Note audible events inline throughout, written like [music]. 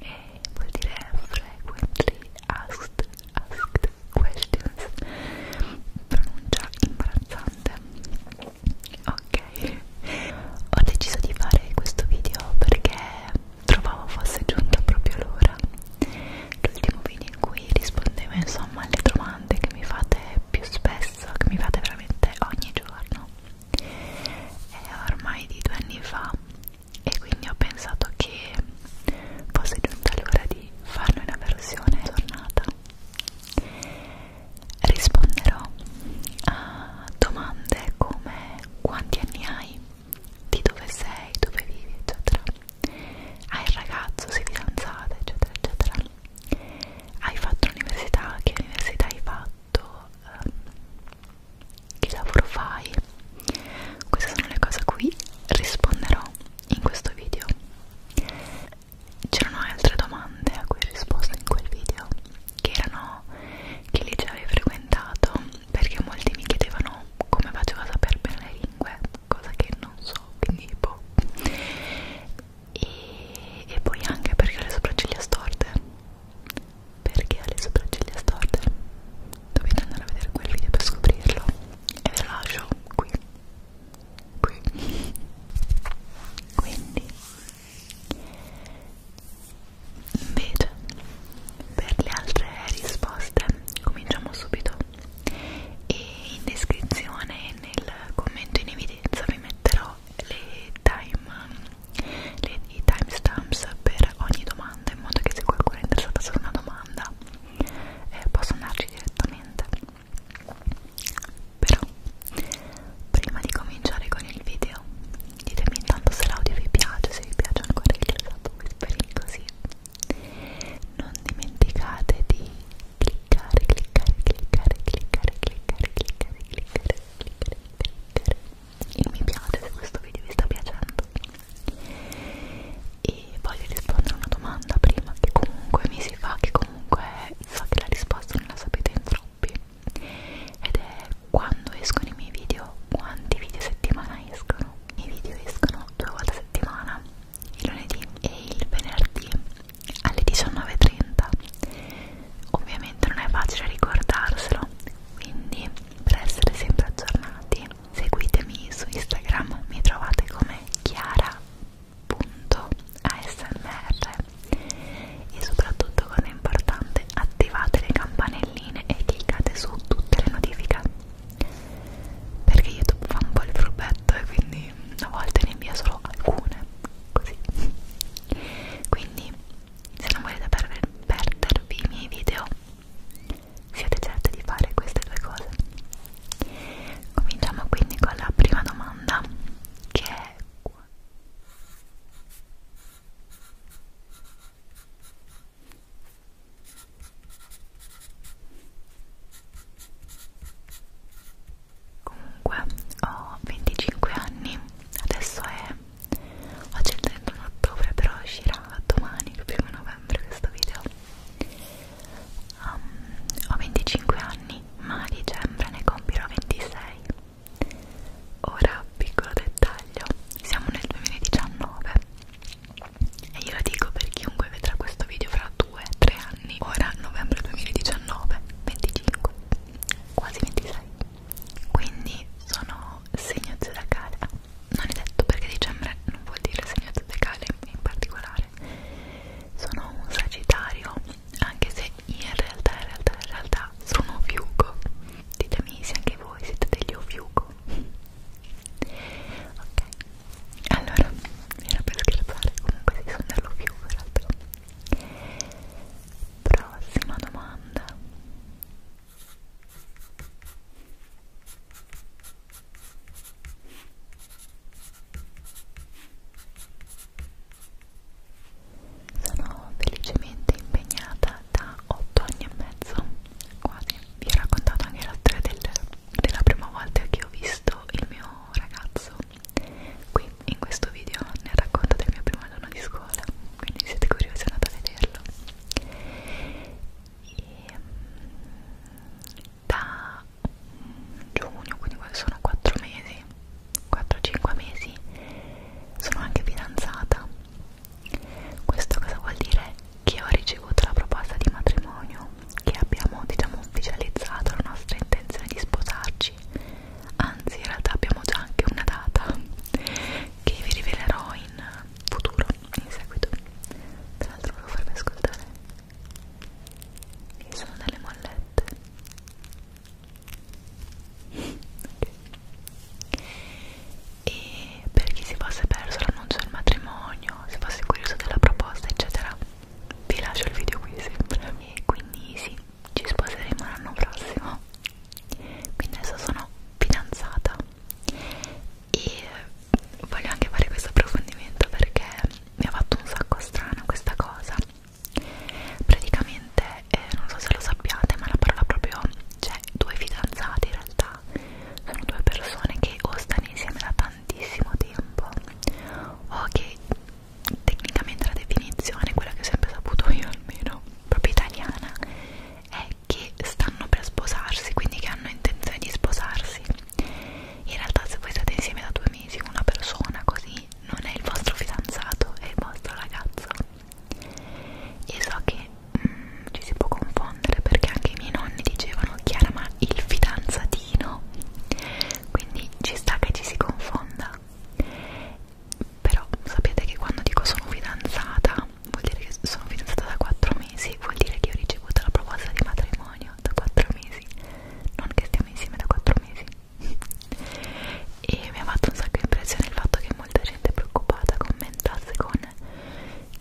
e vuol dire frequently asked, asked questions pronuncia imbarazzante ok ho deciso di fare questo video perché trovavo fosse giunta proprio l'ora l'ultimo video in cui rispondevo insomma alle domande che mi fate più spesso che mi fate veramente ogni giorno è ormai di due anni fa e quindi ho pensato che fosse giunta l'ora di farne una versione tornata risponderò a domande come quanti anni hai di dove sei, dove vivi eccetera hai il ragazzo, sei fidanzata eccetera eccetera hai fatto l'università, che università hai fatto detto ehm, che lavoro fai queste sono le cose a cui risponderò in questo video c'erano altre domande a cui ho risposto in quel video che erano che liceo avevi frequentato perché molti mi chiedevano come facevo a saper bene le lingue cosa che non so quindi boh e, e poi anche perché ho le sopracciglia storte perché ho le sopracciglia storte dovete andare a vedere quel video per scoprirlo e ve lo lascio qui qui quindi invece per le altre risposte cominciamo subito e in descrizione nel commento in evidenza vi metterò le time, le, i timestamps per ogni domanda in modo che se qualcuno è interessato solo una domanda eh, possa andarci direttamente però prima di cominciare con il video ditemi intanto se l'audio vi piace se vi piace ancora il fatto whispering così non dimenticate di cliccare cliccare cliccare cliccare cliccare cliccare cliccare cliccare, cliccare il mi piace se questo video vi sta piacendo e voglio rispondere a una domanda prima che comunque mi si fa che comunque so che la risposta non la sapete in troppi ed è quando escono i miei video quanti video a settimana escono i miei video escono due volte a settimana il lunedì e il venerdì alle 19.30 ovviamente non è facile ricordarselo quindi per essere sempre aggiornati seguitemi su Instagram mi trovate come chiara.asmr e soprattutto cosa importante attivate le campanelline e cliccate su tutte le notifiche perché YouTube fa un po' il furbetto e quindi a volte ne invia solo alcune così quindi se non volete per perdervi i miei video siete certi di fare queste due cose cominciamo quindi con la prima domanda che è qua Comunque ho 25 anni, adesso è oggi è il 31 ottobre, però uscirà domani, il primo novembre questo video. Um, ho 25 anni, ma a dicembre ne compirò 26. Ora, piccolo dettaglio, siamo nel 2019 e io lo dico per chiunque vedrà questo video fra 2-3 anni. Ora, novembre 2019, 25 quasi 26 quindi sono segno zodiacale ah, non è detto perché dicembre non vuol dire segno zodiacale in particolare sono un sagittario anche se in realtà in realtà in realtà sono fiuco ditemi se anche voi siete degli fiuco ok allora era per scherzare comunque sì sono dello fiuco in realtà Prossima domanda. Sono felicemente impegnata da 8 anni e mezzo. Guardi, vi ho raccontato anche la storia del, della prima volta che ho visto il mio ragazzo Qui in questo video ne racconto del mio primo giorno di scuola, quindi se siete curiosi andate a vederlo. E da giugno, quindi sono 4 mesi, 4-5 mesi, sono anche fidanzata. Questo cosa vuol dire? Che ho ricevuto la proposta di matrimonio, che abbiamo diciamo ufficializzato la nostra intenzione di sposarci anzi in realtà abbiamo già anche una data che vi rivelerò in futuro, in seguito tra l'altro volevo farvi ascoltare che sono delle mollette okay. e per chi si fosse perso l'annuncio del matrimonio se fosse curioso della proposta eccetera vi lascio il video qui sempre e quindi sì ci sposeremo l'anno prossimo quindi adesso sono fidanzata e voglio anche fare questo approfondimento perché mi ha fatto un sacco strano questa cosa praticamente eh, non so se lo sappiate ma la parola proprio cioè due fidanzati in realtà sono due persone che o stanno insieme da tantissimo tempo o che tecnicamente la definizione, quella che ho sempre saputo io almeno, proprio italiana, è che stanno per sposarsi, quindi che hanno intenzione di sposarsi. In realtà se voi state insieme da due mesi con una persona così non è il vostro fidanzato, è il vostro ragazzo. E so che mm, ci si può confondere perché anche i miei nonni dicevano Chiara ma il fidanzato mattino quindi ci sta che ci si confonda però sapete che quando dico sono fidanzata vuol dire che sono fidanzata da 4 mesi vuol dire che ho ricevuto la proposta di matrimonio da 4 mesi non che stiamo insieme da 4 mesi [laughs] e mi ha fatto un sacco impressione il fatto che molta gente preoccupata commentasse con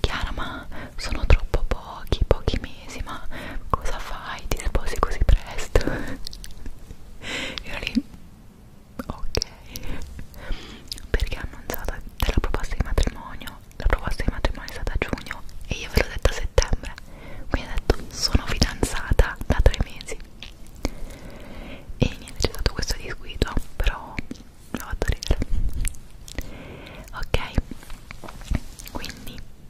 Chiara ma sono troppo pochi, pochi mesi mesi ma cosa fai? Ti sposi così presto? [laughs] Io lì ok perché ha annunciato della proposta di matrimonio la proposta di matrimonio è stata a giugno e io ve l'ho detto a settembre quindi ho detto sono fidanzata da tre mesi e niente c'è stato questo disguido però l'ho fatto ridere ok quindi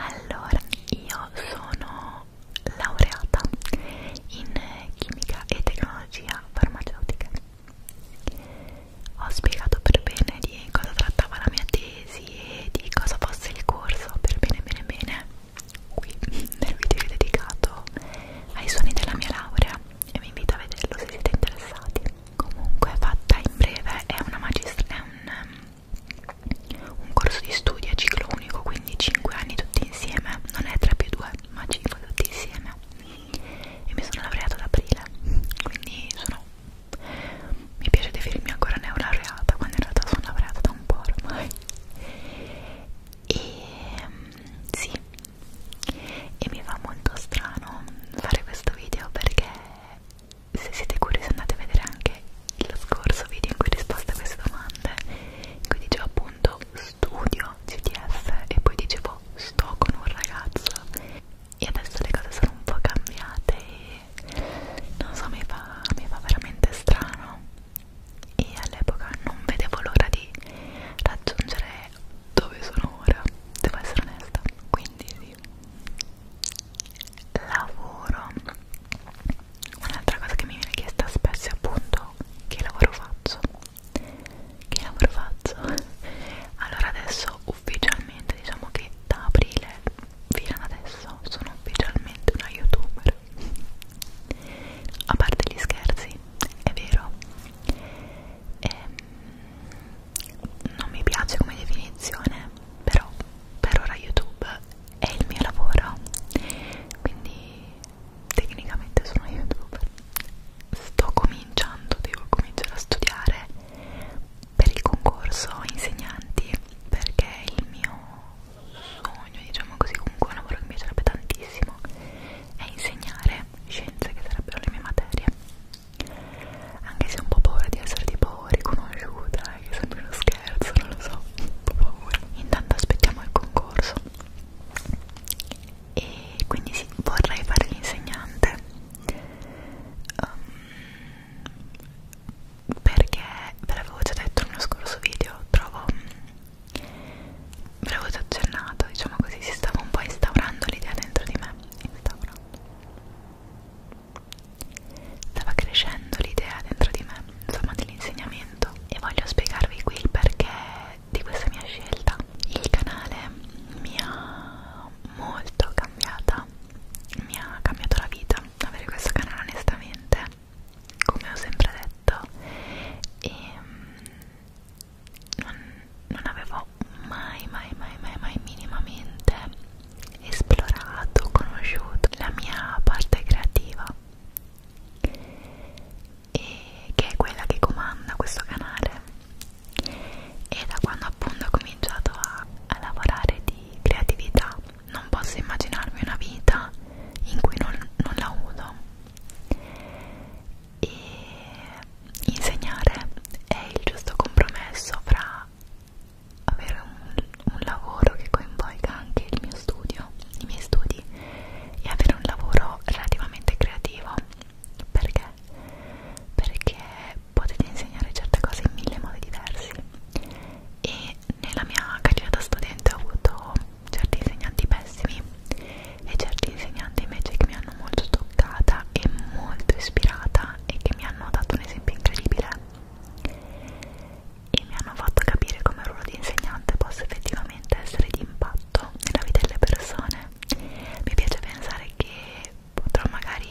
Allora, io sono laureata in chimica e tecnologia farmaceutica. Ho spiegato per bene di cosa trattava la mia tesi e di cosa fosse il corso, per bene bene bene qui [laughs] nel video dedicato ai suoni della mia laurea e vi invito a vederlo se siete interessati comunque fatta in breve è una magistrale un, um, un corso di studio a ciclo unico quindi 5 anni tutti insieme non è 3 più 2 ma 5 tutti insieme e mi sono laureata ad aprile quindi sono mi piace definirmi ancora neolaureata quando in realtà sono laureata da un po' ormai e mm, sì e mi fa molto strano fare questo video perché se siete curiosi andate a vedere anche lo scorso video in cui ho risposto a queste domande in cui dicevo appunto studio CTS e poi dicevo sto con un ragazzo e adesso le cose sono un po' cambiate e non so, mi fa, mi fa veramente strano e all'epoca non vedevo l'ora di raggiungere dove sono ora, devo essere onesta, quindi sì. Lavoro. Un'altra cosa che mi viene chiesta spesso è appunto che lavoro faccio. Che lavoro faccio? [laughs] Allora adesso ufficialmente diciamo che da aprile fino ad adesso sono ufficialmente una youtuber ASMR a parte gli scherzi è vero e, ehm, non mi piace come definizione però per ora YouTube è il mio lavoro quindi tecnicamente sono youtuber sto cominciando devo cominciare a studiare per il concorso insegnanti perché il mio sogno, diciamo così, comunque un lavoro che mi piacerebbe tantissimo è insegnare scienze che sarebbero le mie materie anche se ho un po' paura di essere tipo riconosciuta eh, che sembra uno scherzo, non lo so, un po' paura intanto aspettiamo il concorso e quindi sì, vorrei fare l'insegnante um, perché ve l'avevo già detto nello scorso video trovo mm, ve l'avevo già accennato diciamo così si stava un po' instaurando l'idea dentro di me instaurando stava crescendo l'idea dentro di me insomma dell'insegnamento e voglio spiegarvi qui il perché di questa mia scelta il canale mi ha molto cambiata mi ha cambiato la vita avere questo canale onestamente come ho sempre detto e mm, non, non avevo mai mai mai mai mai minimamente esplorato, conosciuto la mia parte creativa e che è quella che comanda questo canale e da quando appunto ho cominciato a, a lavorare di creatività non posso immaginarmi una vita in cui non, non la uso e insegnare è il giusto compromesso fra avere un, un lavoro che coinvolga anche il mio studio, i miei studi e avere un lavoro relativamente creativo perché? perché potete insegnare certe cose in mille modi diversi e nella mia carriera da studente ho avuto certi insegnanti pessimi e certi insegnanti invece che mi hanno molto toccata e molto ispirata e che mi hanno dato un esempio incredibile e mi hanno fatto capire come il ruolo di insegnante possa effettivamente essere di impatto nella vita delle persone mi piace pensare che potrò magari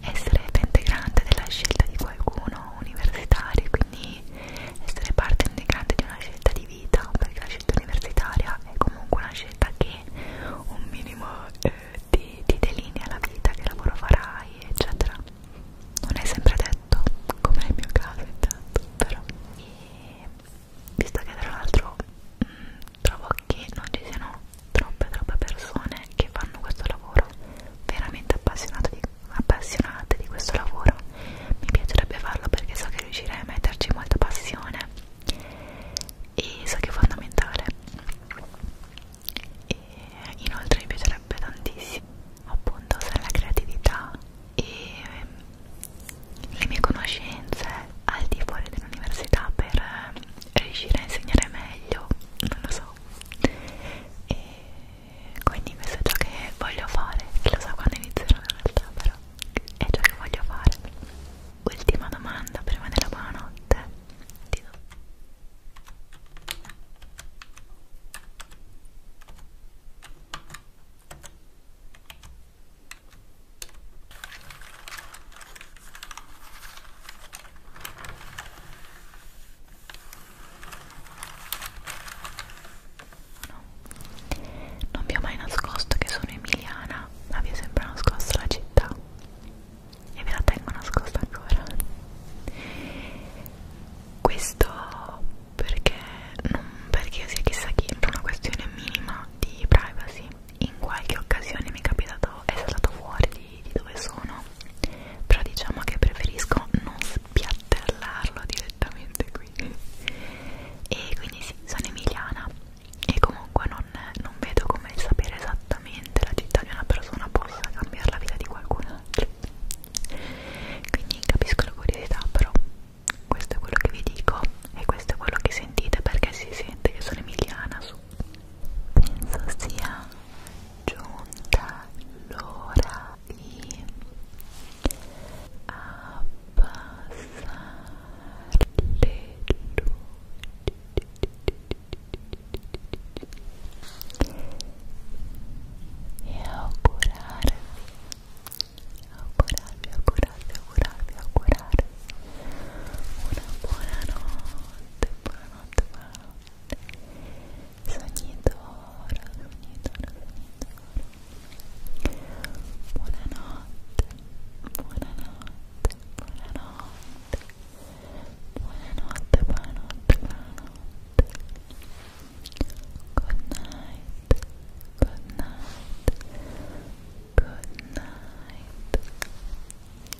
essere integrante della scelta di qualcuno universitario, quindi essere parte integrante di una scelta di vita, perché la scelta universitaria è comunque una scelta che un minimo eh, ti, ti delinea la vita, che lavoro farai, eccetera. Non è sempre detto, come nel mio caso intanto, però. E visto che tra l'altro mm, trovo che non ci siano troppe troppe persone che fanno questo lavoro veramente appassionate di, appassionate di questo lavoro mi piacerebbe farlo perché so che riuscirei a metterci molta passione e so che è fondamentale e inoltre mi piacerebbe tantissimo appunto usare la creatività e ehm, le mie conoscenze al di fuori dell'università per eh, riuscire a insegnare meglio non lo so e quindi questo è ciò che voglio fare lo so quando inizierò in realtà però è ciò che voglio fare ultima domanda prima della buonanotte ti do No. Non vi ho mai nascosto che sono emiliana, ma vi è sempre nascosta la città e ve la tengo nascosta ancora. Questo perché non perché io sia chissà chi, per una questione minima di privacy. In qualche occasione mi è capitato, è stato fuori di, di dove sono però diciamo che preferisco non spiattellarlo direttamente qui e quindi sì, sono emiliana e comunque non, non vedo come sapere esattamente la città di una persona possa cambiare la vita di qualcun altro quindi capisco la curiosità però questo è quello che vi dico e questo è quello che sentite perché si sente che sono emiliana su penso sia giunta l'ora di abbassare le luci e augurarvi augurarvi, augurarvi, augurarvi, augurarvi una buona notte, buona notte, buona notte sognitoro, sognitoro, sognitoro buonanotte, buonanotte, buonanotte buonanotte, buonanotte, buonanotte good night, good night, good night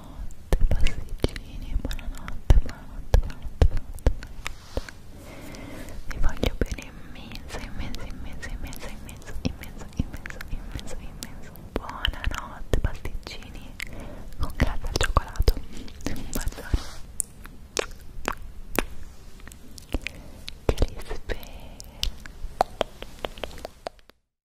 buonanotte pasticcini buonanotte buonanotte buonanotte buonanotte vi voglio bene immenso immenso immenso immenso immenso immenso immenso immenso immenso buonanotte pasticcini con grazie al cioccolato un bacione che li spero